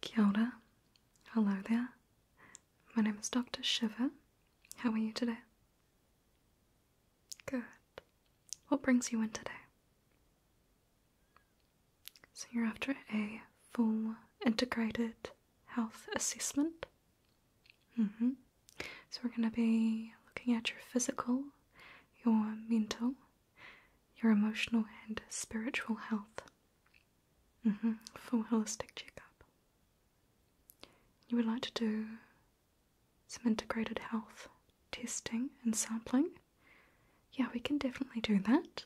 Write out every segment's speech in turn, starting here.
Kia ora. Hello there. My name is Dr. Shiva. How are you today? Good. What brings you in today? So, you're after a full integrated health assessment? Mm-hmm. So, we're going to be looking at your physical, your mental, your emotional and spiritual health mm -hmm, for holistic checkup. You would like to do some integrated health testing and sampling. Yeah, we can definitely do that.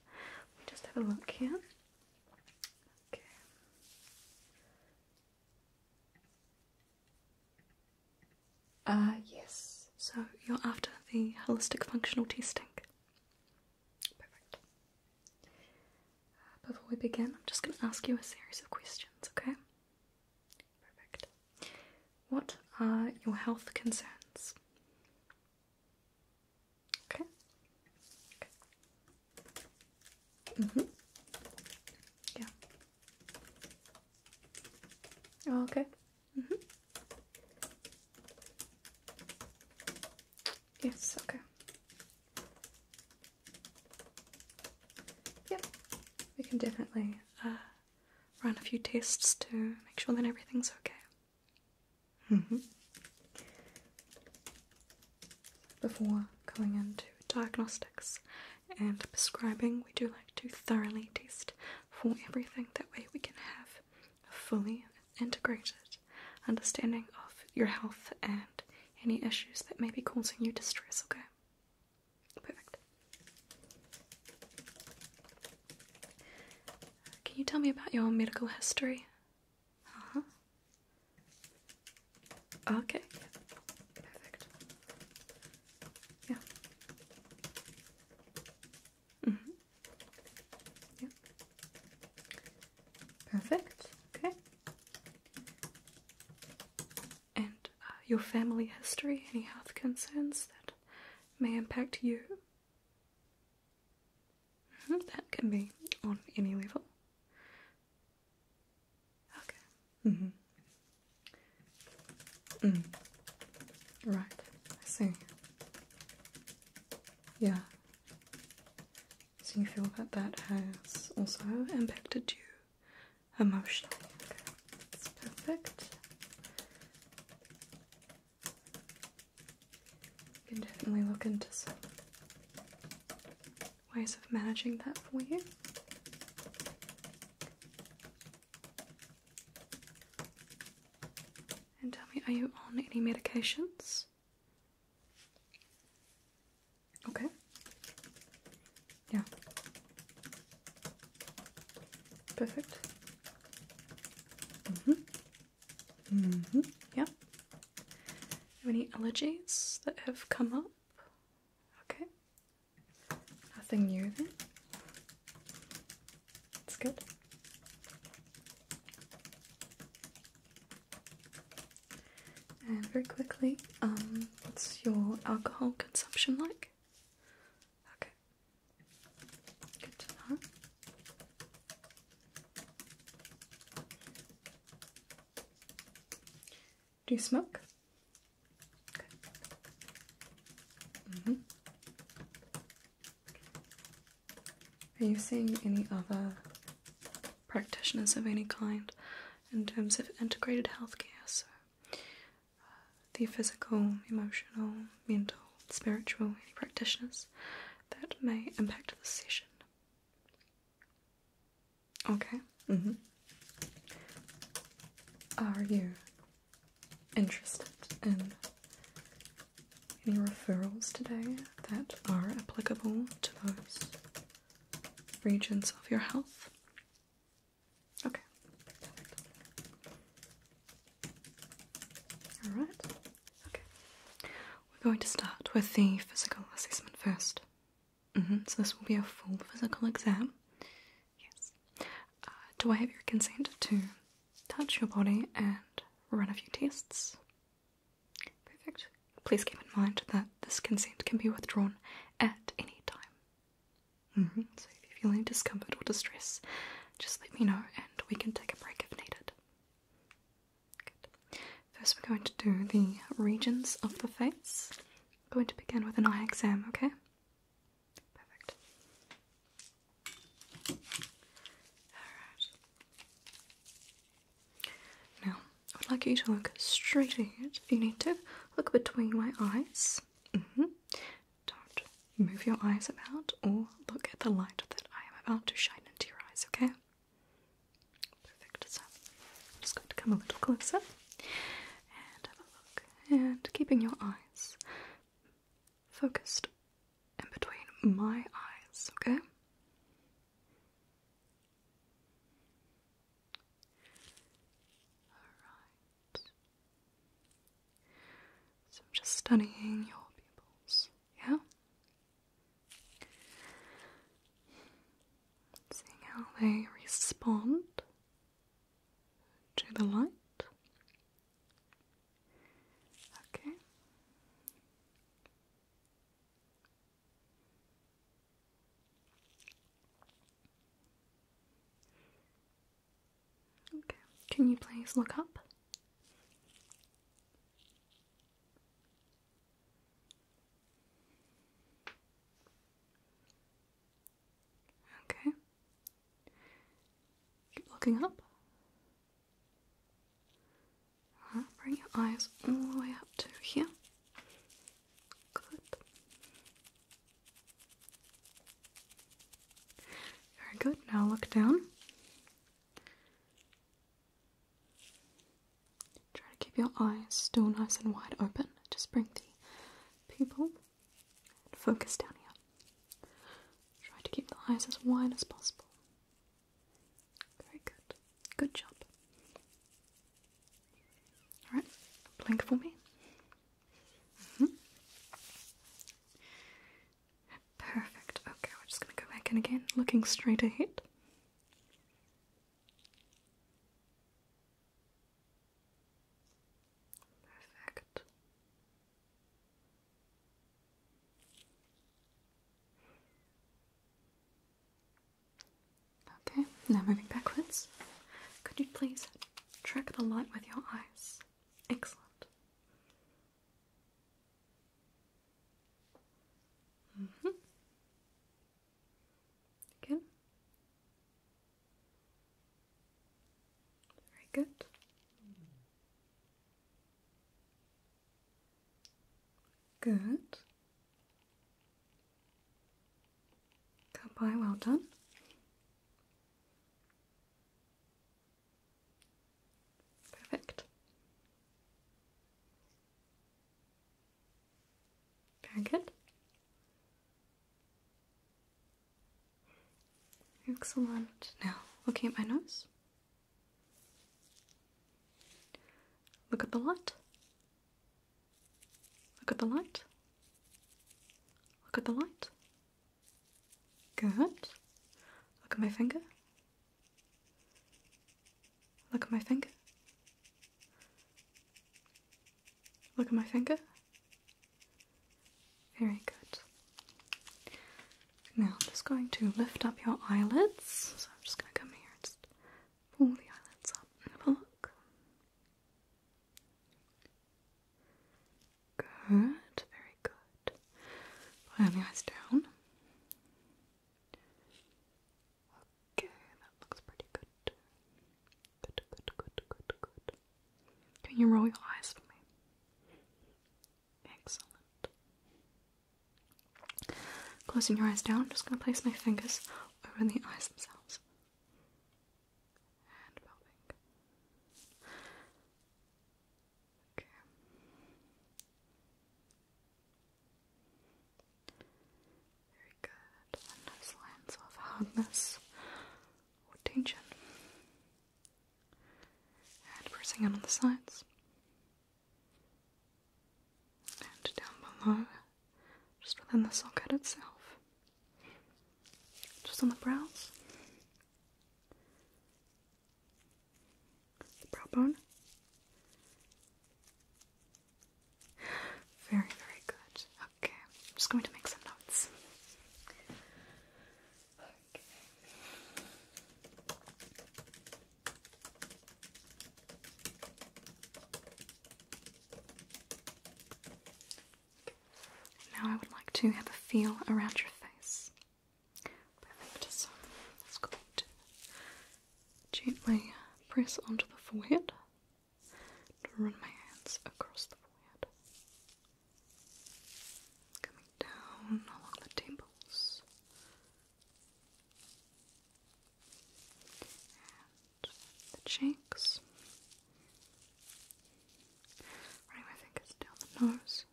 Let just have a look here. Ah, yes. So you're after the holistic functional testing. Perfect. Uh, before we begin, I'm just going to ask you a series of questions, okay? Perfect. What are your health concerns? Okay. okay. Mm hmm. Yeah. Oh, okay. Mm -hmm. Yes, okay. Yep, we can definitely uh, run a few tests to make sure that everything's okay. Mm -hmm. Before going into diagnostics and prescribing, we do like to thoroughly test for everything. That way, we can have a fully integrated understanding of your health and any issues that may be causing you distress, okay? Perfect. Can you tell me about your medical history? Uh huh. Okay. Perfect. Yeah. Mm-hmm. Perfect. Okay. And uh, your family history, any health concerns that may impact you? Mm -hmm. That can be on any level. Okay. Mm -hmm. Mm. Right, I see. Yeah. So you feel that that has also impacted you emotionally. Okay. That's perfect. You can definitely look into some ways of managing that for you. And tell me, are you on any medications? Okay. Yeah. Perfect. Mm-hmm. Mm-hmm. Yeah. Any allergies that have come up? Okay. Nothing new then. It's good. And very quickly, um, what's your alcohol consumption like? Okay. Good to Do you smoke? Okay. Mm -hmm. Are you seeing any other practitioners of any kind in terms of integrated healthcare? So, uh, the physical, emotional, mental, spiritual, practitioners that may impact the session? Okay. Mm-hmm. Are you interested in any referrals today that are applicable to those regions of your health? Okay. Alright. Okay. We're going to start with the physical assessment first. Mm-hmm. So this will be a full physical exam. Yes. Uh, do I have your consent to touch your body and run a few tests? Perfect. Please keep in mind that this consent can be withdrawn at any time. Mm-hmm. So if you're feeling discomfort or distress, just let me know and we can take a break if needed. Good. First, we're going to do the regions of the face. I'm going to begin with an eye exam, okay? Perfect. Alright. Now, I would like you to look straight ahead if you need to. Look between my eyes. Mm-hmm. Don't move your eyes about or look at the light that I am about to shine into your eyes, okay? Perfect. So, I'm just going to come a little closer and have a look. And keeping your eyes focused in between my eyes, okay? So I'm just studying your pupils, yeah? Seeing how they respond to the light. Okay. Okay. Can you please look up? Okay. Keep looking up. bring your eyes all the way up to here. Good. Very good. Now look down. Try to keep your eyes still nice and wide open. Just bring the pupil Focus down here. Try to keep the eyes as wide as possible. Very good. Good job. Alright, blink for me. Mm-hmm. Perfect. Okay, we're just going to go back in again, looking straight ahead. Perfect. Okay, now moving backwards. Could you please track the light with your eyes? Excellent. Mm -hmm. Again. Very good. Good. Good Goodbye, well done. Perfect. Very good. Excellent. Now, looking at my nose. Look at the light. Look at the light. Look at the light. Good. Look at my finger. Look at my finger. Look at my finger. Very good. Now I'm just going to lift up your eyelids. So I'm just going to come here and pull the eyelids up and have a look. Good, very good. Pull the eyes down. Okay, that looks pretty good. Good, good, good, good, good. Can you roll your eyes for me? Excellent. Closing your eyes down, I'm just going to place my fingers over the eyes themselves. And popping. Okay. Very good. And those of hardness or tension and pressing out on the sides and down below, just within the socket itself, just on the brows, the brow bone. Very, very good. Okay, I'm just going to make some notes. Now I would like to have a feel around your face. let's go gently uh, press onto the forehead. Run my hands across the forehead. Coming down along the temples. And the cheeks. Running my fingers down the nose.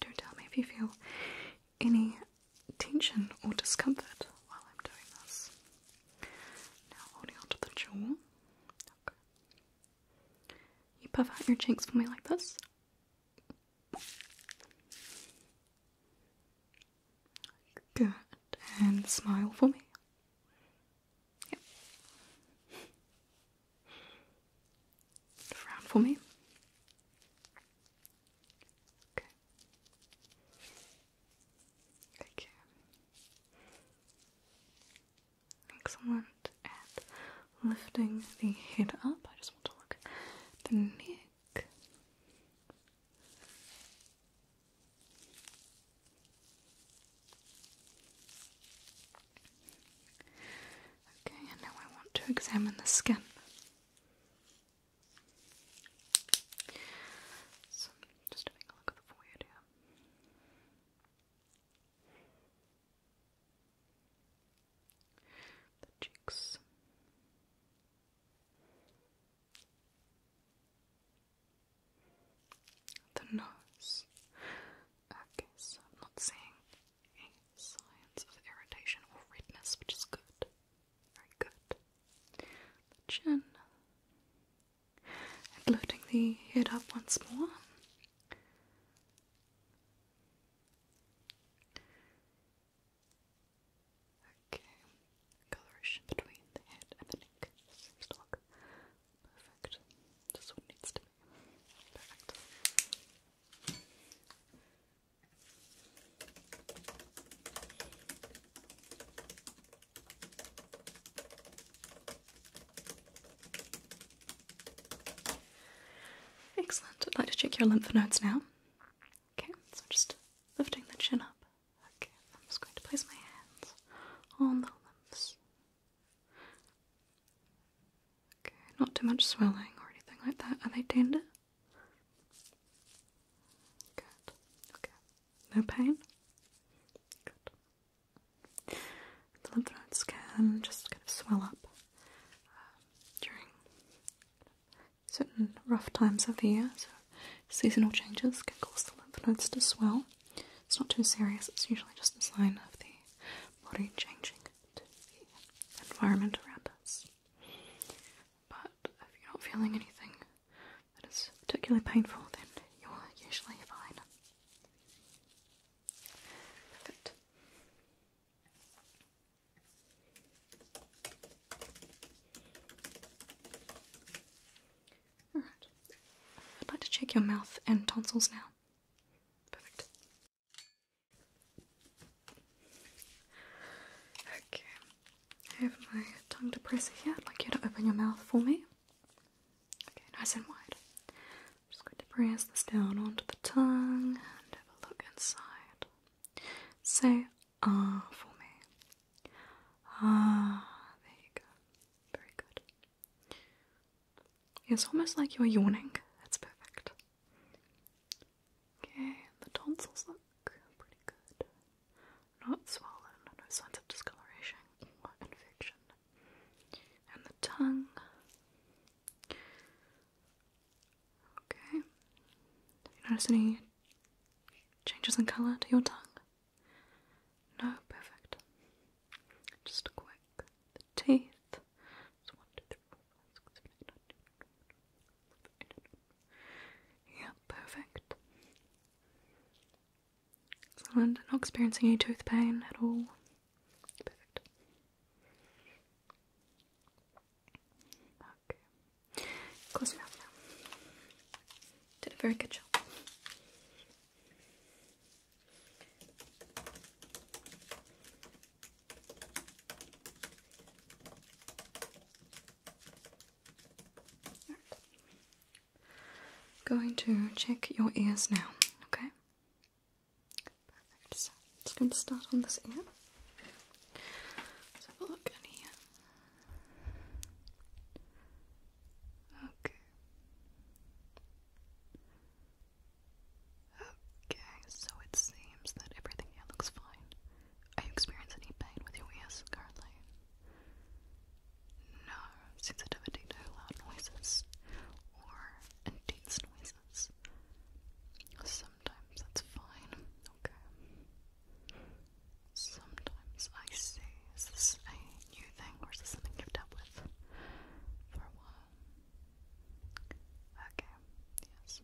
Do tell me if you feel any tension or discomfort while I'm doing this. Now holding onto the jaw. Okay. You puff out your cheeks for me like this. Good. And smile for me. Yep. Frown for me. Okay. Okay. Excellent. at lifting the head up, I just want to look at the neck. Okay, and now I want to examine the skin. So, just having a look at the forehead the cheeks. The nose. Okay, so I'm not seeing any signs of irritation or redness, which is good. Very good. The chin and lifting the head up once more. Okay, coloration between the head and the neck seems perfect. Just what needs to be perfect. Excellent. I'd like to check your lymph nodes now. Okay, so just lifting the chin up. Okay, I'm just going to place my hands on the lymphs. Okay, not too much swelling or anything like that. Are they tender? Good. Okay. No pain? Good. The lymph nodes can just kind of swell up uh, during certain rough times of the year. So seasonal changes can cause the lymph nodes to swell. It's not too serious. It's usually just a sign of the body changing to the environment around us. But if you're not feeling anything that is particularly painful, then you're usually fine. Good. All right. I'd like to check your mouth and tonsils now. Perfect. Okay. I have my tongue depressor here. like you to open your mouth for me. Okay, nice and wide. I'm just going to press this down onto the tongue and have a look inside. Say ah for me. Ah, there you go. Very good. It's almost like you're yawning. That's perfect. Okay, the tonsils look pretty good. Not swollen, no signs of discoloration or infection and the tongue. Okay. Have you noticed any changes in colour to your tongue? No, perfect. Just quick. The teeth. Yeah, perfect. Excellent. Not experiencing any tooth pain at all. Perfect. Okay. Close mouth now. Did a very good job going to check your ears now, okay? Perfect. just going to start on this ear. Let's have a look in here. Okay. Okay, so it seems that everything here looks fine. Are you experiencing any pain with your ears currently? no sensitivity to loud noises or intense noises. Sometimes that's fine, okay? Sometimes I say, is this a new thing or is this something you've dealt with for a Okay, yes.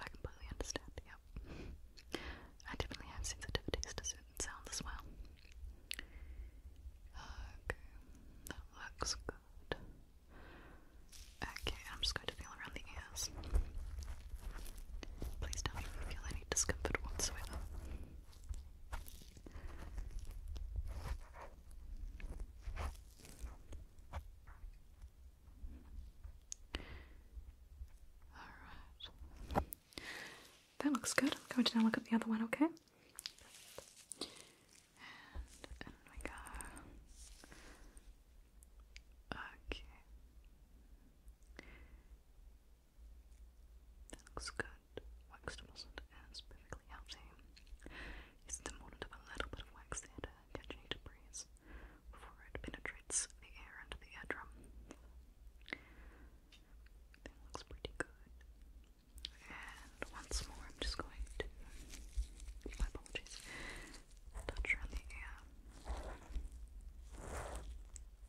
I completely understand, yep. I definitely have sensitivities to certain sounds as well. Okay, that looks good. Okay, I'm just going to feel around the ears. Please don't feel any discomfort whatsoever. Alright. That looks good. I'm going to now look at the other one, okay? And in Okay. That looks good. Wax doesn't it's perfectly healthy. It's the moment of a little bit of wax there uh, to catch any before it penetrates the air into the eardrum. That looks pretty good. And once more, I'm just going to, my apologies, touch around the ear.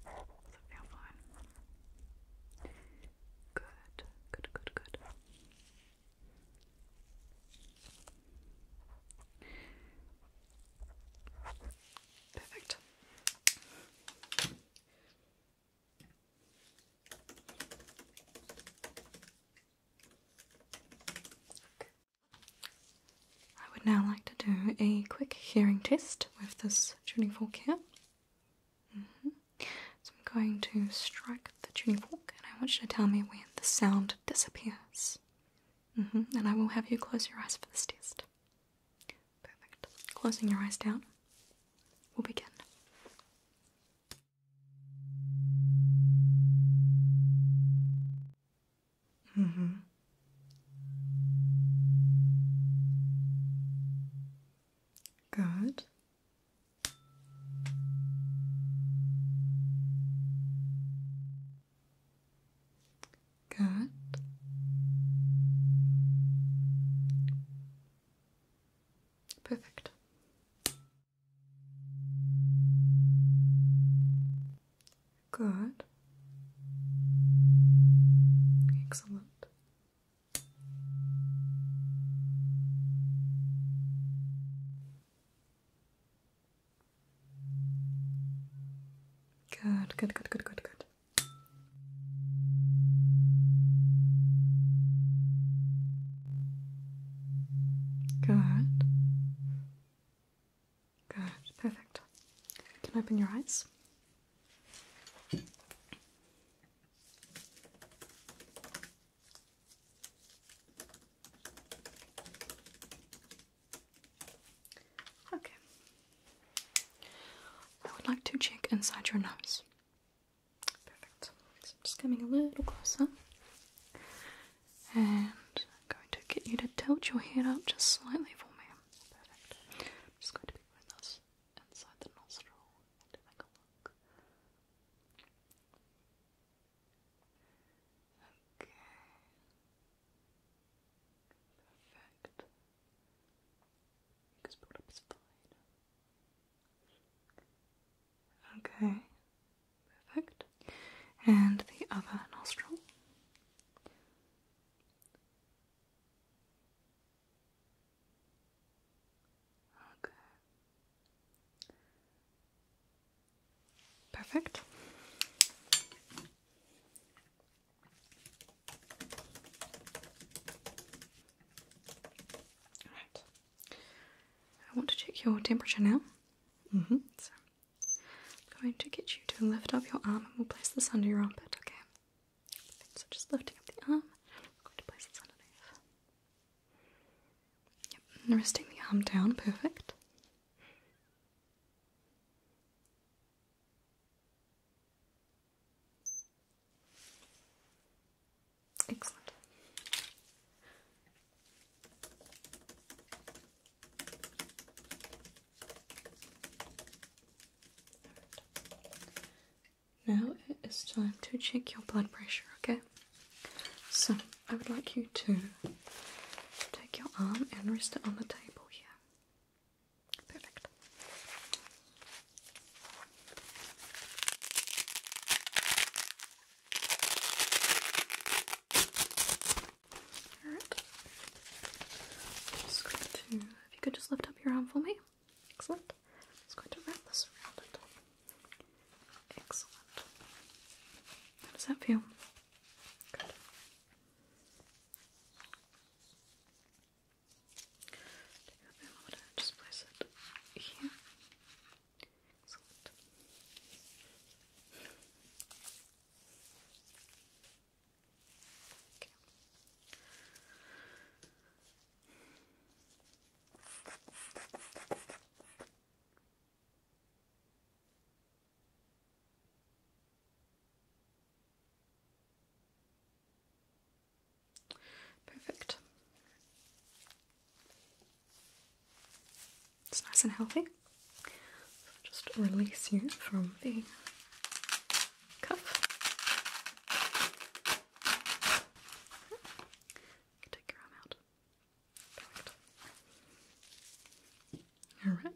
Does it feel fine? Good, good, good, good. Perfect. I would now like to do a quick hearing test with this tuning fork here. Mm-hmm. So I'm going to strike the tuning fork and I want you to tell me when the sound disappears. Mm-hmm. And I will have you close your eyes for this test. Perfect. Closing your eyes down. We'll begin. Mm hmm. Good. Good. Perfect. Good. Excellent. Good, good, good, good, good, good. Good. Good. Perfect. You can open your eyes. Okay. I would like to check inside your nose. Perfect. So I'm just coming a little closer. And I'm going to get you to tilt your head up just slightly for me. Perfect. I'm just going to be with us inside the nostril and a look. Okay. Perfect. Okay. Perfect. And the other nostril. Okay. Perfect. I want to check your temperature now. Mm hmm. So I'm going to get you to lift up your arm and we'll place this under your armpit, okay? So just lifting up the arm, I'm going to place this underneath. Yep, and resting the arm down, perfect. Excellent. Now it is time to check your blood pressure, okay? So I would like you to take your arm and rest it on the table here. Perfect. Alright. Just going to, if you could just lift up your arm for me. Excellent. i going to wrap this around Excellent. How does that feel? Good. Take a bit more and just place it here. Excellent. Okay. Perfect. It's nice and healthy. just release you from the cuff. Take your arm out. Perfect. All right.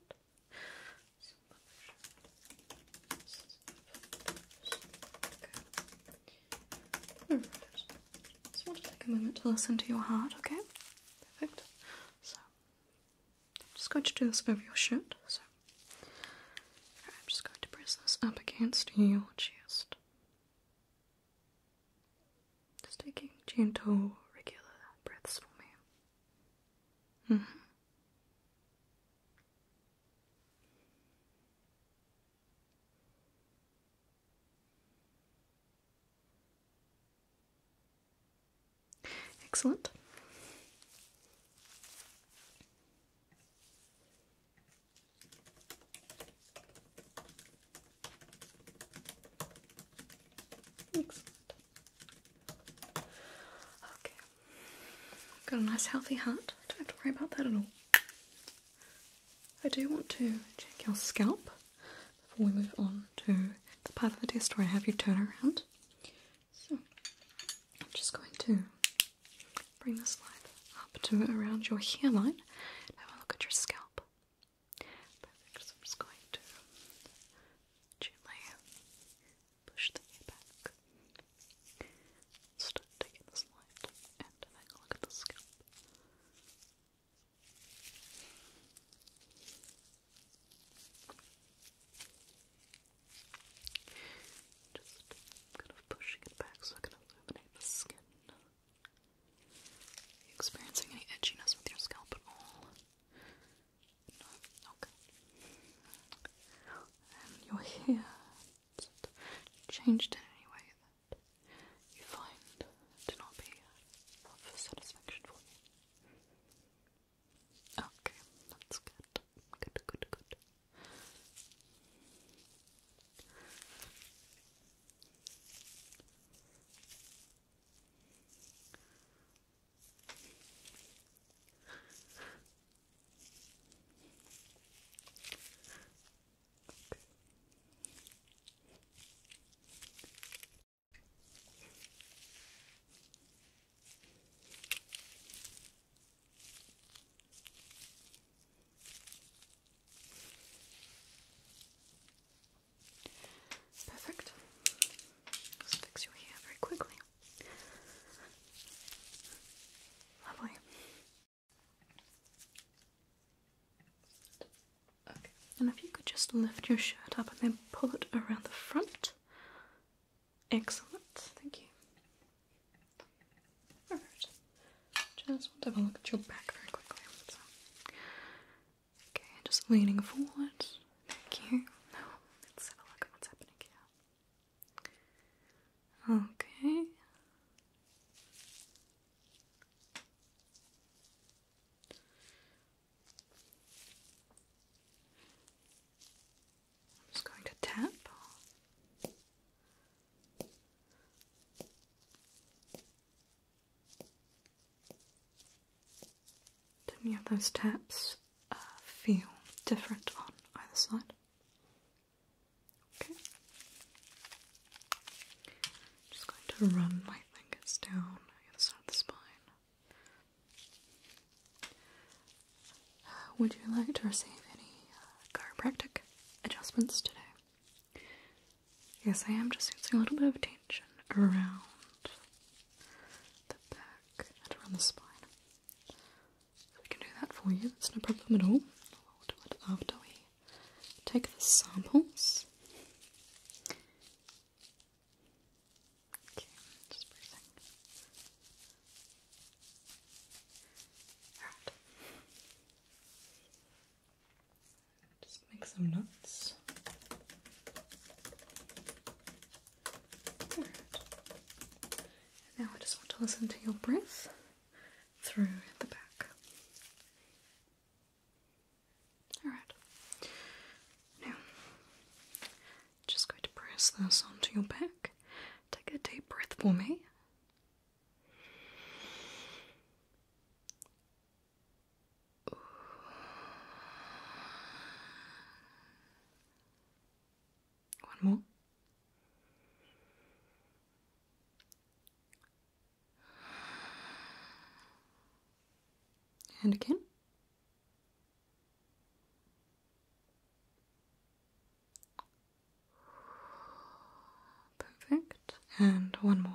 All right. Just want to take a moment to listen to your heart, okay? Perfect. So, just going to do this over your shirt. So, I'm just going to press this up against your chest. Just taking gentle, regular breaths for me. -hmm. Excellent. Excellent. Okay, Got a nice healthy heart. Don't have to worry about that at all. I do want to check your scalp before we move on to the part of the test where I have you turn around. So I'm just going to bring this light up to around your hairline and have a look at your scalp. Perfect. So I'm just going to gently push the hair back. Start taking this light and having a look at the scalp. Just kind of pushing it back so I can illuminate the skin. Are experiencing any itchiness with your scalp at all? No? Okay. And your hair changed in any way that you find to not be of satisfaction for you. Okay, that's good. Good, good, good. Perfect. Let's fix your hair very quickly. Lovely. Okay. And if you could just lift your shirt up and then pull it around the front. Excellent. Thank you. Alright. Just want to have a look at your back very quickly. Okay, just leaning forward. Thank you. let's have a look at what's happening here. Okay. I'm just going to tap. Do any of those taps uh, feel different on either side? Okay. I'm just going to run my fingers down the the spine. Uh, would you like to receive any uh, chiropractic adjustments today? Yes, I am just using a little bit of tension around the back and around the spine we can do that for you, that's no problem at all. after we take the samples. Okay, just breathing. Alright. Just make some notes. And now I just want to listen to your breath through the back. Alright. Now, just going to press this onto your back. Take a deep breath for me. One more. And again. Perfect. And one more.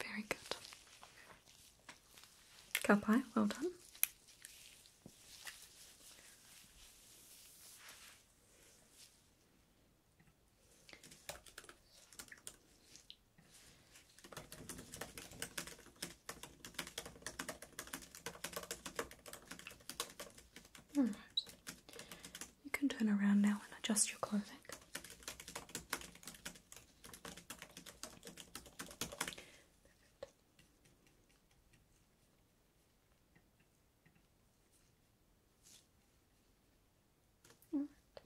Very good. Cow pie, well done. Alright, you can turn around now and adjust your clothing. Perfect.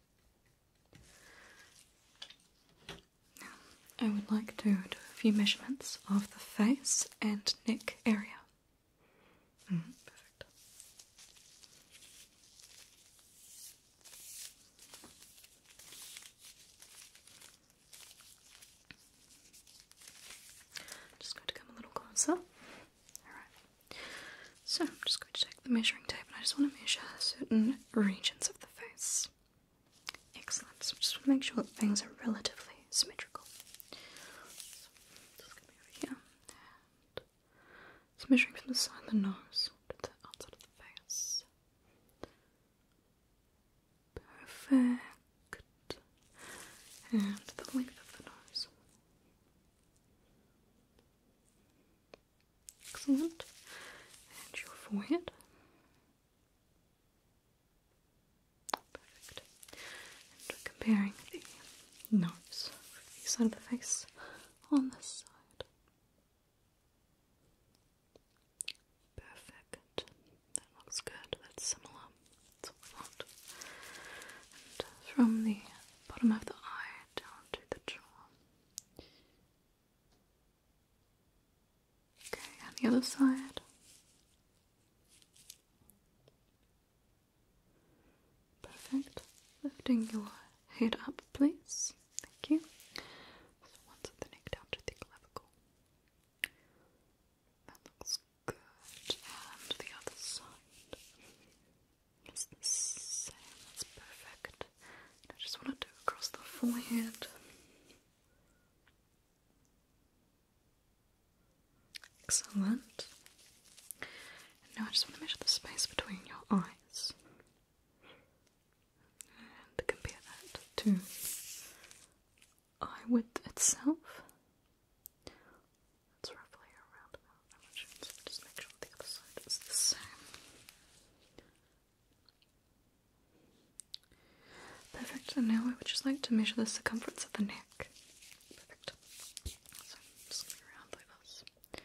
I would like to do a few measurements of the face and neck area. Mm, perfect just going to come a little closer. Alright. So I'm just going to take the measuring tape and I just want to measure certain regions of the face. Excellent. just want to make sure that things are relatively symmetrical. just going to be over here. It's measuring from the side of the nose to the outside of the face. Perfect. And the length of the nose. Excellent. And your forehead. Perfect. And comparing the nose with the side of the face on this side. Perfect. That looks good. That's similar. That's what we want. Uh, from the bottom of the eye down to the jaw. Okay, and the other side. Perfect. Lifting your head up, please. Thank you. So once the neck down to the clavicle. That looks good. And the other side is the same. That's perfect. I just want to do across the forehead. Excellent. now I just want to measure the space between your eyes. And compare that to eye width itself. That's roughly around about that much. just make sure the other side is the same. Perfect, and now I would just like to measure the circumference of the neck. Perfect. So just going to like this.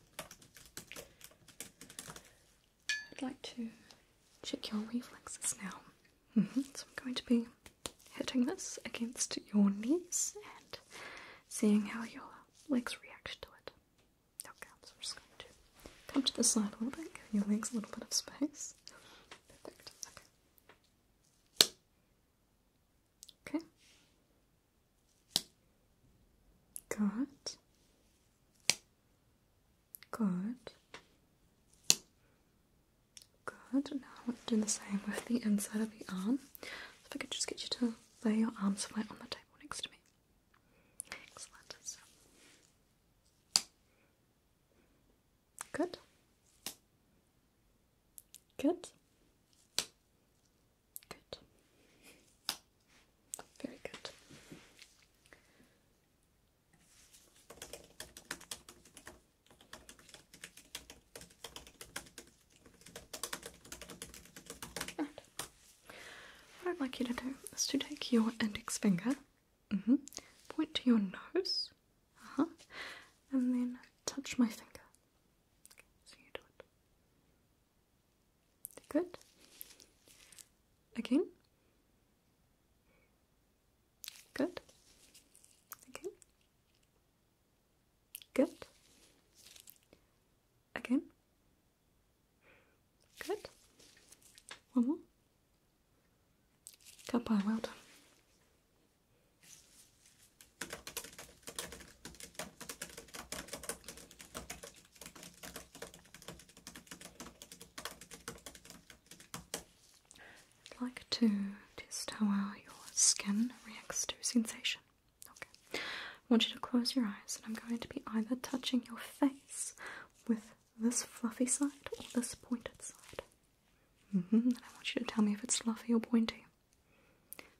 I'd like to check your reflexes now. Mm-hmm. So I'm going to be hitting this against your knees and seeing how your legs react to it. Okay, so I'm just going to come to the side a little bit, give your legs a little bit of space. Perfect. Okay. Okay. Good. Good. Good. Now I let to do the same with the inside of the arm. If I could just get you to lay your arms flat on the table next to me. Excellent. Good. Good. Very good. what I'd like you to do is to take your index finger, mm-hmm, point to your nose, uh-huh, and then touch my finger. so you do it. Good. Again. Good. Again. Good. Again. Good. One more. Goodbye, well done. I'd like to test how well your skin reacts to sensation. Okay. I want you to close your eyes, and I'm going to be either touching your face with this fluffy side or this pointed side. Mm-hmm. And I want you to tell me if it's fluffy or pointy.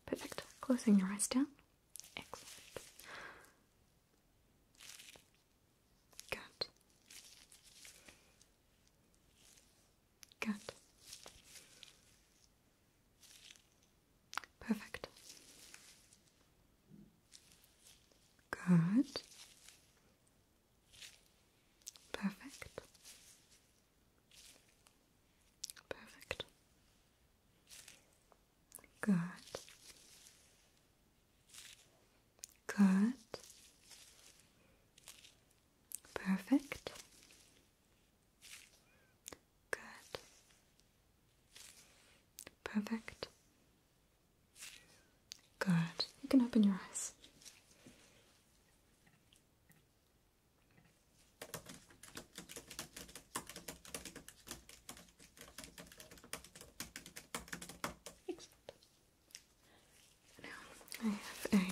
Perfect. Closing your eyes down. Excellent. Good. Good. Perfect. Good. Perfect. Perfect. Good. Good. Perfect. Good. Perfect. Good. You can open your eyes. Excellent. Now I have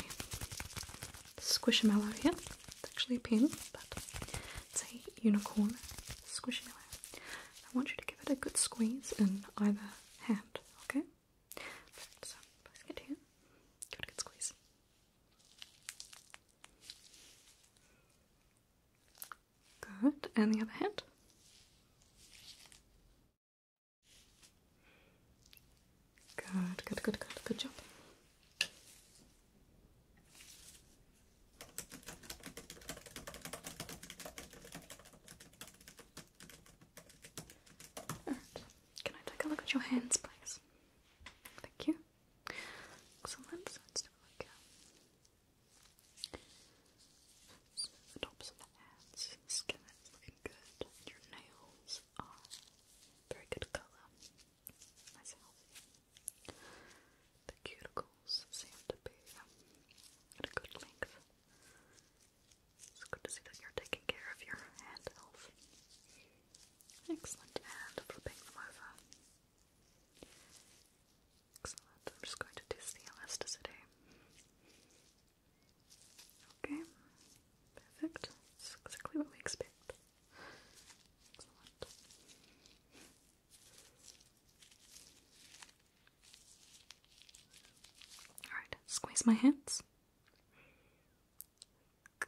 a squishmallow here. It's actually a pin, but it's a unicorn squishmallow. I want you to give it a good squeeze in either hand, okay? So, place it here. Give it a good squeeze. Good, and the other hand. Good, good, good, good, good job. Can I take a look at your hands, please? Thank you. Excellent. So let's do a look the tops of the hands, skin is looking good. Your nails are very good colour. Nice and The cuticles seem to be um, at a good length. It's good to see that you're taking care of your hand health. Excellent. And flipping them over. Excellent. I'm just going to test the elasticity. Okay. Perfect. exactly what we expect. Excellent. Alright, squeeze my hands.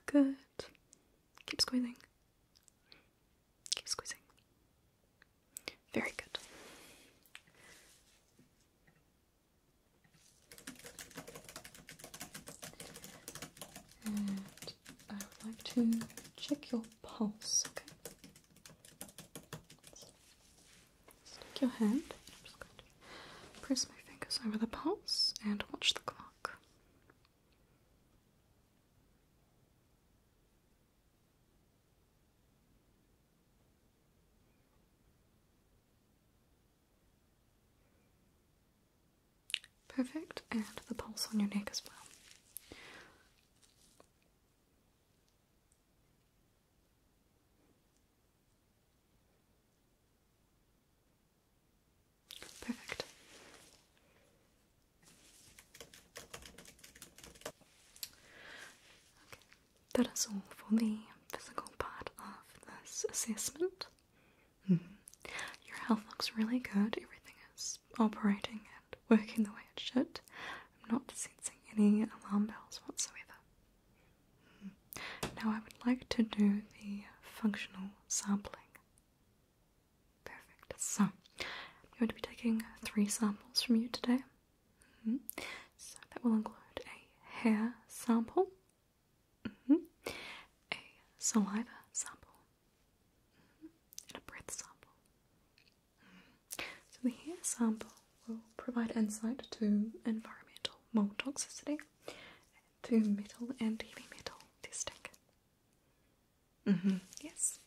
Good. Keep squeezing. Keep squeezing. Very good. I would like to check your pulse, okay? Stick your hand. press my fingers over the pulse and watch the clock. Perfect, and the pulse on your neck as well. Perfect. Okay. That is all for the physical part of this assessment. Mm-hmm. Your health looks really good. Everything is operating and working the way it should. I'm not sensing any alarm bells whatsoever. Mm-hmm. Now I would like to do the functional sampling. Perfect. So, I'm going to be taking three samples from you today. Mm-hmm. So, that will include a hair sample, mm-hmm. a saliva sample, mm-hmm. and a breath sample. So, the hair sample will provide insight to environmental mold toxicity, and to metal and heavy metal testing. Mm -hmm. Yes.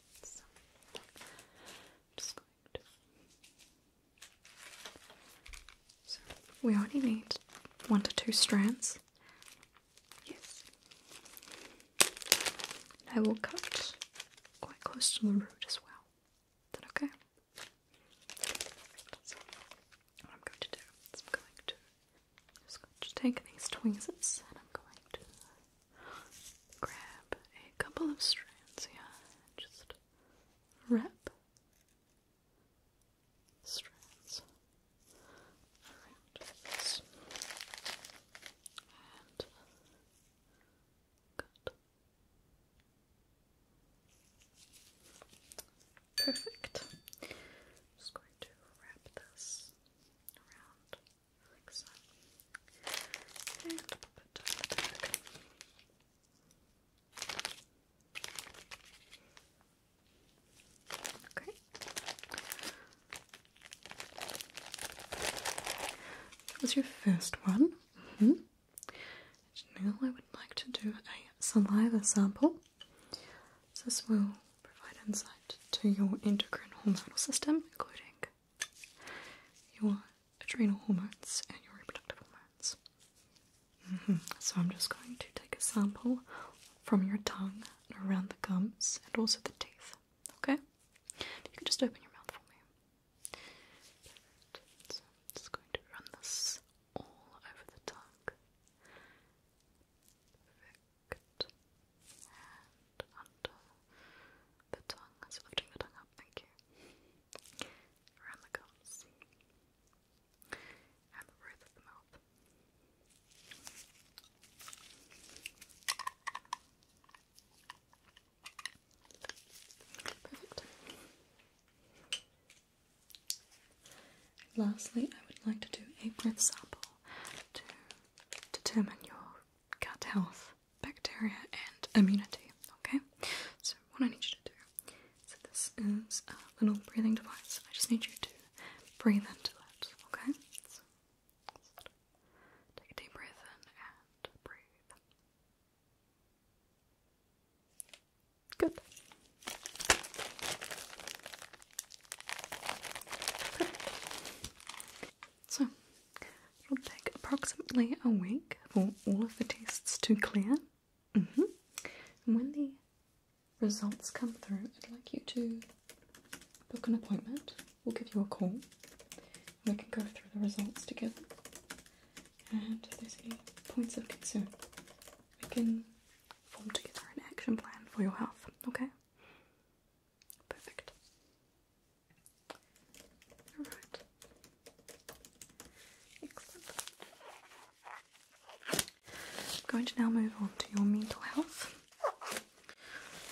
So, we only need one to two strands. Yes. I will cut quite close to the root as well. Is that okay? what I'm going to do just going to take these tweezers and I'm going to grab a couple of strands Yeah, just wrap strands around this and good. Perfect. just going to wrap this that was your first one. Mm-hmm. Now I would like to do a saliva sample. So this will provide insight to your endocrine hormonal system, including your adrenal hormones and your reproductive hormones. Mm-hmm. So, I'm just going to take a sample from your tongue around the gums and also the teeth. Okay? You can just open your mouth for me. just going to run this all over the tongue and under the tongue, so lifting the tongue up, thank you, around the gums, and the roof of the mouth. Perfect. Lastly, I would like to do a breath sample determine your gut health, bacteria, and immunity. Okay? So, what I need you to do so, this is a little breathing device. I just need you to breathe into that. Okay? take a deep breath in and breathe. Good. So, it'll take approximately a week for all of the tests to clear. Mm-hmm. And when the results come through, I'd like you to book an appointment. We'll give you a call. We can go through the results together. And if there's any points of concern, we can form together an action plan for your health, okay? Perfect. Alright. Excellent. I'm going to now move on to your mental health.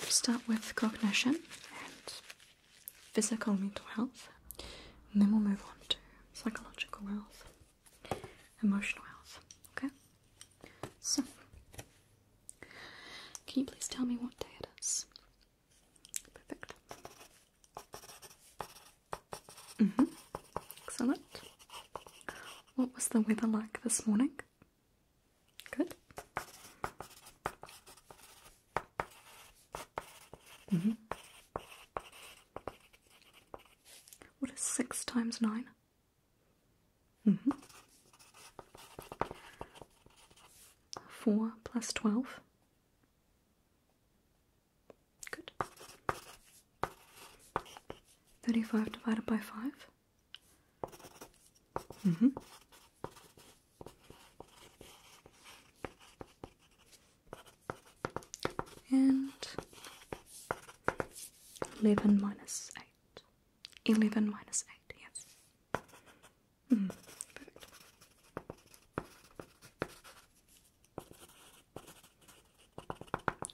start with cognition and physical mental health, and then we'll move on to psychological health, emotional health. Okay? So, can you please tell me what day it is? Perfect. Mm hmm. Excellent. What was the weather like this morning? Good. Mm hmm. What is six times nine? Mm -hmm. 4 plus 12. Good. 35 divided by 5. Mm -hmm. And 11 minus 8. 11 minus 8, yes. Hmm,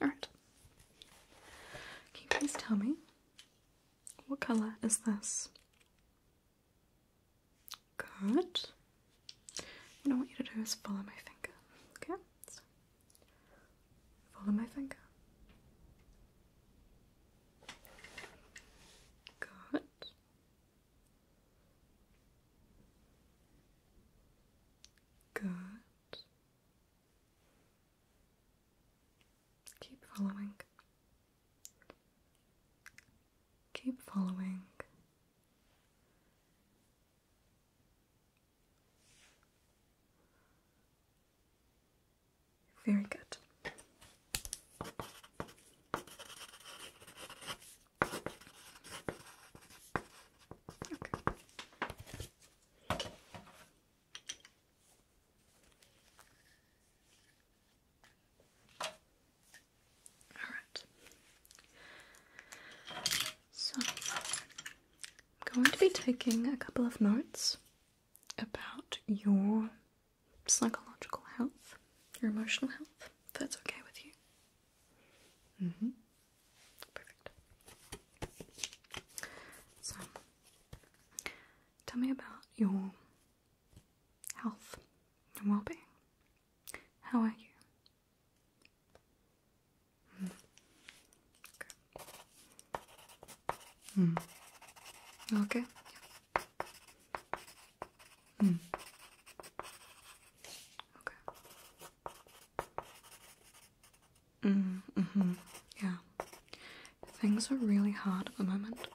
Alright. Can you please tell me what colour is this? Good. What I want you to do is follow my finger. Okay? Follow my finger. Good. Good. Keep following. Keep following. Very good. All right. So I'm going to be taking a couple of notes about your psychological health, your emotional health, that's okay with you. Mm-hmm. Perfect. So tell me about your health and well being. How are you? Mm-hmm. Okay. Mm. Okay. Yeah. Okay. Mm, mm hmm Yeah. Things are really hard at the moment.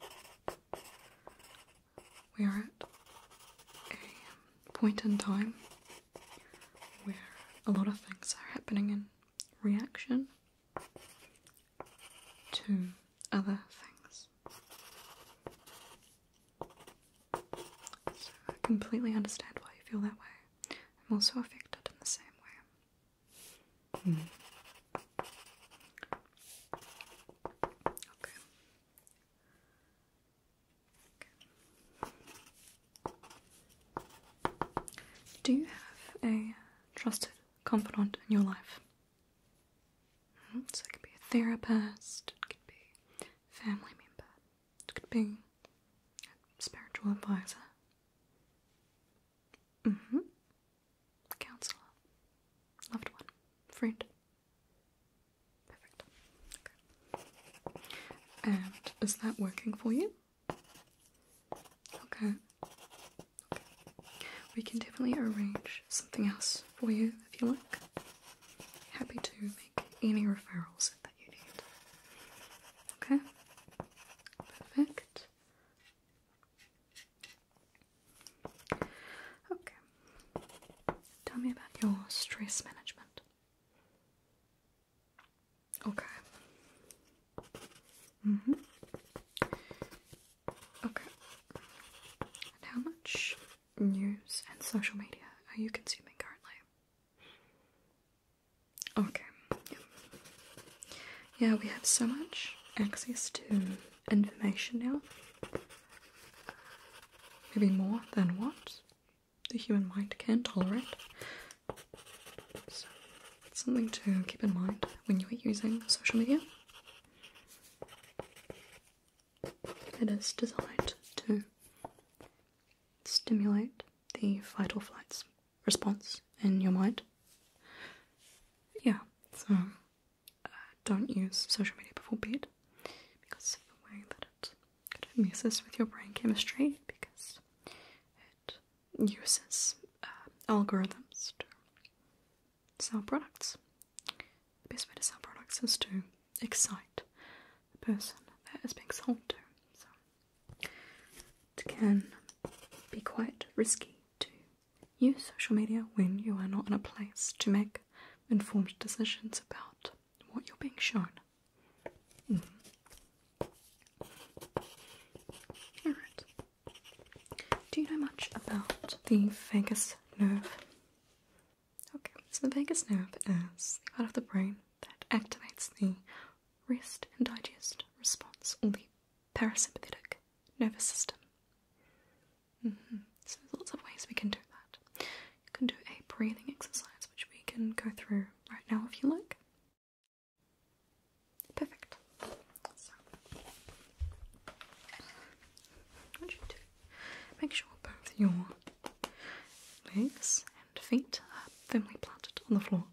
We are at a point in time where a lot of things are happening in reaction to other things. So I completely understand why you feel that way. I'm also affected in the same way. Hmm. Okay. okay. Do you have a trusted confidant in your life. Hmm? So it could be a therapist, it could be a family member, it could be a spiritual advisor, mm-hmm. counselor, loved one, friend. Perfect. Okay. And is that working for you? Okay. We can definitely arrange something else for you if you like. Happy to make any referrals that you need. Okay? Perfect. Okay. Tell me about your stress management. Okay. hmm Okay. how much news and social media are you consuming currently? Okay. yeah we have so much access to information now. Maybe more than what the human mind can tolerate. So it's something to keep in mind when you're using social media. It is designed to stimulate the fight or flight response in your mind. Yeah, so uh, don't use social media before bed because of the way that it, it messes with your brain chemistry because uses uh, algorithms to sell products. The best way to sell products is to excite the person that is being sold to. So it can be quite risky to use social media when you are not in a place to make informed decisions about what you're being shown. Mm-hmm. Do you know much about the vagus nerve? Okay, so the vagus nerve is the part of the brain that activates the rest and digest response, or the parasympathetic nervous system. Mm-hmm. So there's lots of ways we can do that. You can do a breathing exercise, which we can go through right now if you like. Perfect. Make sure both your legs and feet are firmly planted on the floor.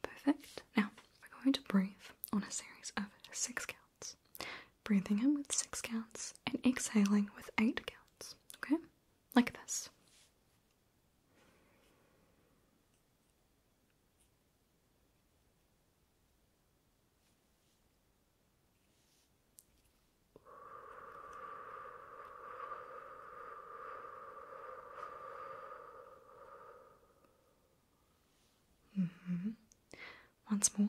Perfect. Now we're going to breathe on a series of six counts. Breathing in with six counts and exhaling with eight counts. Okay? Like this. -hmm. Once more.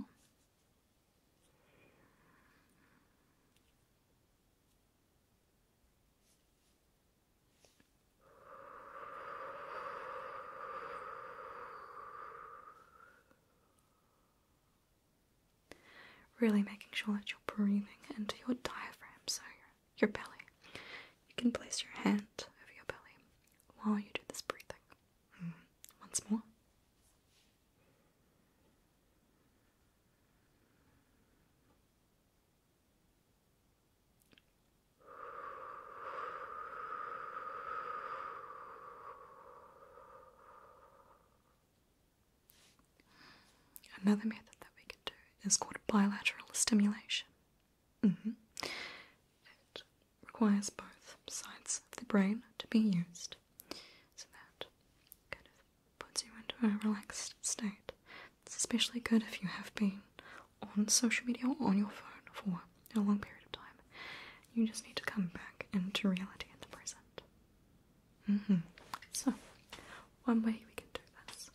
Really making sure that you're breathing into your diaphragm, so your, belly. You can place your hand over your belly while you do this breathing. Hmm. Once more. Another method that we can do is called bilateral stimulation. Mm-hmm. It requires both sides of the brain to be used, so that kind of puts you into a relaxed state it's especially good if you have been on social media or on your phone for a long period of time. You just need to come back into reality in the present. Mm-hmm. So, one way we can do this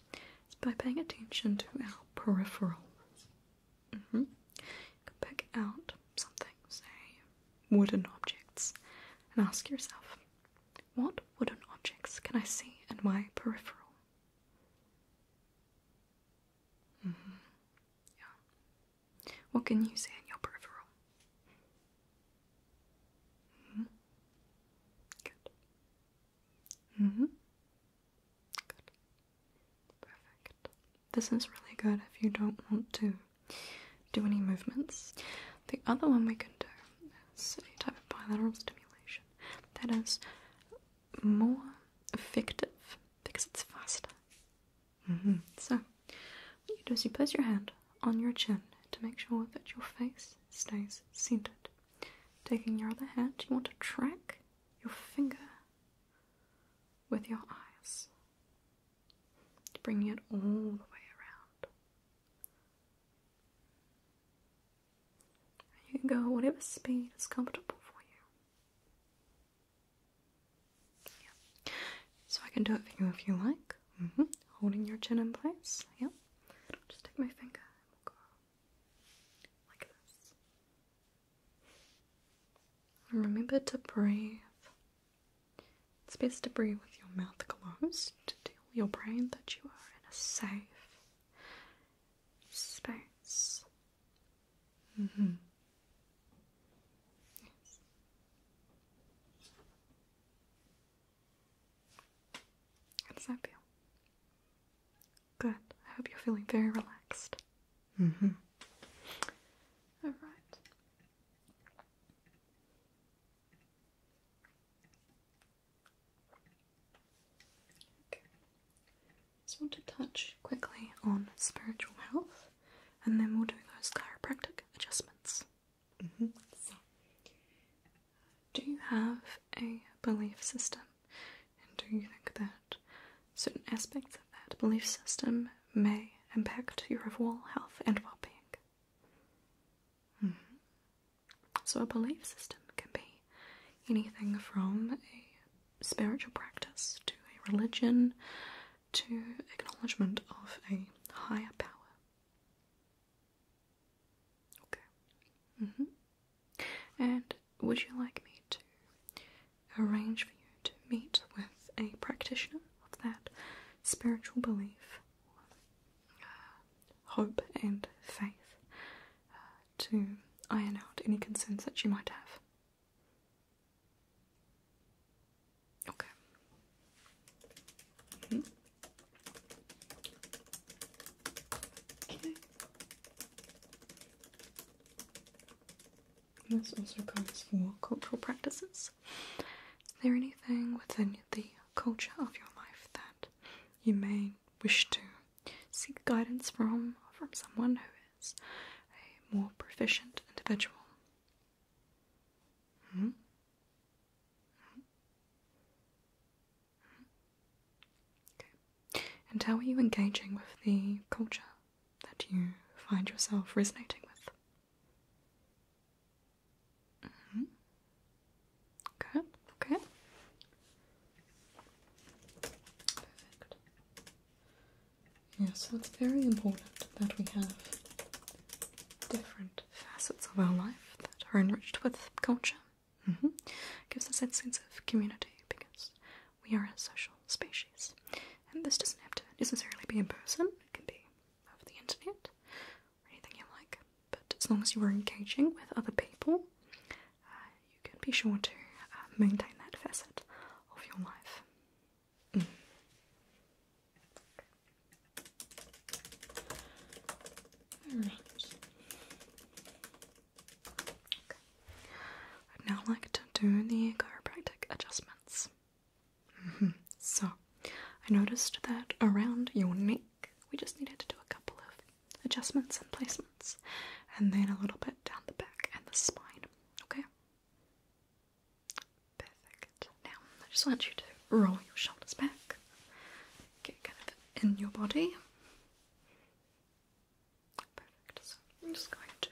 is by paying attention to our peripheral. Mm-hmm. You can pick out something, say, wooden objects, and ask yourself, what wooden objects can I see in my peripheral? Mm-hmm. Yeah. What can you say in your peripheral? Mm-hmm. Good. Mm hmm Good. Perfect. This is really good if you don't want to do any movements. The other one we can do is a type of bilateral stimulation that is more effective because it's faster. Mm-hmm. So, what you do is you place your hand on your chin to make sure that your face stays centered. Taking your other hand, you want to track your finger with your eyes, bringing it all the way around you can go whatever speed is comfortable for you. Yeah. So I can do it for you if you like. Mm-hmm. Holding your chin in place. Yeah. Just take my finger and we'll go like this. And remember to breathe. It's best to breathe with your mouth closed to tell your brain that you are in a safe Sparse. hmm. Yes. How does that feel? Good. I hope you're feeling very relaxed. hmm. All right. Okay. Just want to touch quickly on spiritual health, and then we'll do those chiropractic adjustments. Mm-hmm. do you have a belief system, and do you think that certain aspects of that belief system may impact your overall health and well-being? Mm-hmm. So, a belief system can be anything from a spiritual practice to a religion to acknowledgement of a higher power. Okay. Mm-hmm. And would you like me to arrange for you to meet with a practitioner of that spiritual belief? Uh, hope and faith uh, to iron out any concerns that you might have. Okay. Mm-hmm. Okay. This also goes for cultural practices. Is there anything within the culture of your life that you may wish to seek guidance from from someone who is a more proficient individual. Hmm? Hmm? And how are you engaging with the culture that you find yourself resonating with? Hmm? Good, okay. Perfect. Yeah, so it's very important that we have different facets of our life that are enriched with culture. Mm Gives us that sense of community because we are a social species. And this doesn't have to necessarily be in person, it can be over the internet anything you like. But as long as you are engaging with other people, uh, you can be sure to uh, maintain that facet of your life. Alright. Mm. Okay. I'd now like to do the chiropractic adjustments. Mm-hmm. So, I noticed that around your neck we just needed to do a couple of adjustments and placements, and then a little bit down the back and the spine. Okay? Perfect. Now, I just want you to roll your shoulders back, get kind of in your body. Perfect. I'm just going to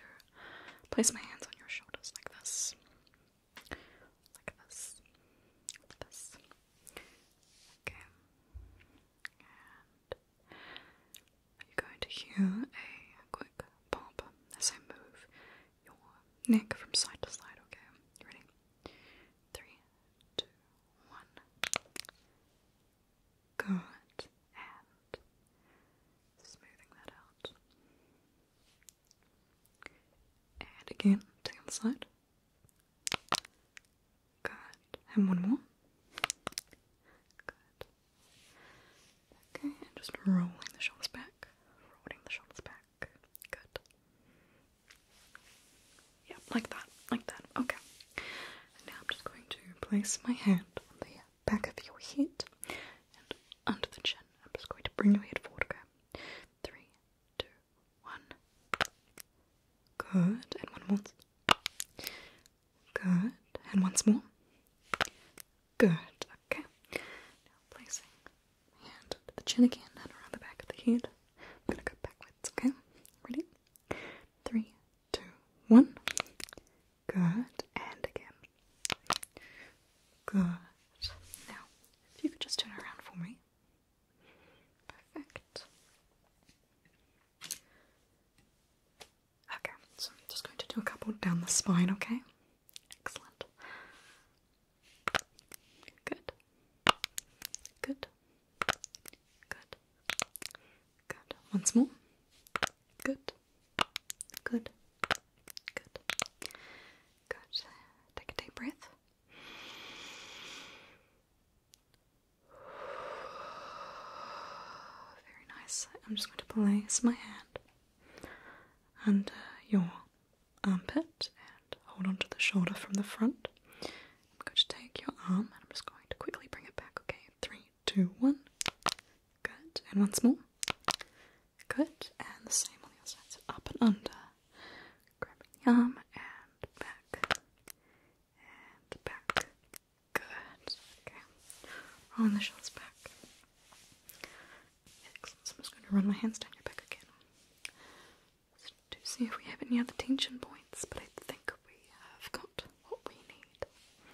place my hands on your shoulders like this, like this, like this. Okay. And you're going to hear a quick pop as I move your neck from side to side, okay? Ready? Three, two, one. Good. And smoothing that out. And again, to the other side. Good. And one more. Good. Okay, and just rolling the shoulders back. Rolling the shoulders back. Good. Yep, like that. Like that. Okay. now I'm just going to place my hand on the back of your head and under the chin. I'm just going to bring your head forward. Okay. Three, two, one. Good. And one more. Good. And once more. Good. Okay. Now placing hand to the chin again and around the back of the head. I'm gonna go backwards, okay? Ready? Three, two, one. Good. And again. Good. Now, if you could just turn around for me. Perfect. Okay, so I'm just going to do a couple down the spine, okay? Excellent. Good. Good. Good. Good. Once more. Good. Good. Good. Good. Take a deep breath. Very nice. I'm just going to place my hand under your armpit and hold onto the shoulder from the front. I'm going to take your arm and I'm just going to quickly bring it back. Okay, three, two, one. Good. And once more. Good. And the same on the other side. So up and under. Grab the arm and back and back. Good. Okay. On the shell's back. I'm just going to run my hands down your back again. to see if we have any other tension points, but I think we have got what we need.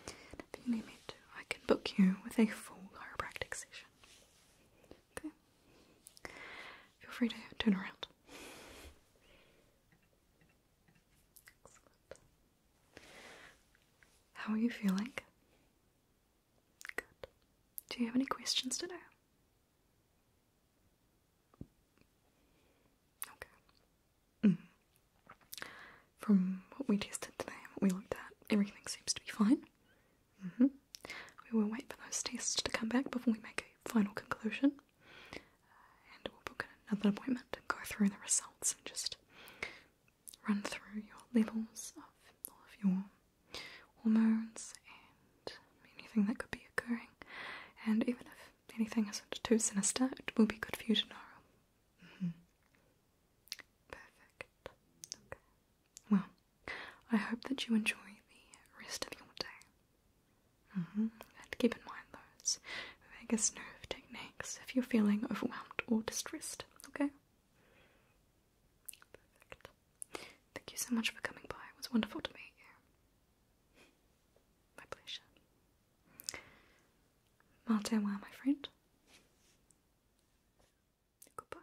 If you need me to, I can book you with a full chiropractic session. Okay. Feel free to turn around. How are you feeling? Good. Do you have any questions today? Okay. Mm. From what we tested today what we looked at, everything seems to be fine. Mm-hmm. We will wait for those tests to come back before we make a final conclusion and we'll book another appointment and go through the results and just run through your levels of all of your hormones and anything that could be occurring. And even if anything isn't too sinister, it will be good for you tomorrow. Mm-hmm. Perfect. Well, I hope that you enjoy the rest of your day. Mm-hmm. And keep in mind those vagus nerve techniques if you're feeling overwhelmed or distressed, okay? Perfect. Thank you so much for coming by. It was wonderful to meet you. My pleasure. Matewa, my friend. Goodbye.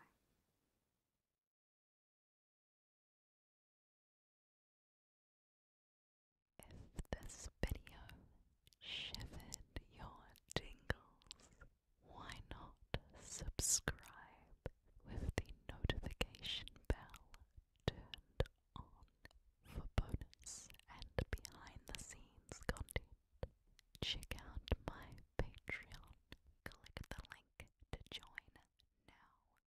If this video shivered your tingles, why not subscribe with the notification bell turned on for bonus and behind the scenes content? Check out my Patreon. Click the link to join now.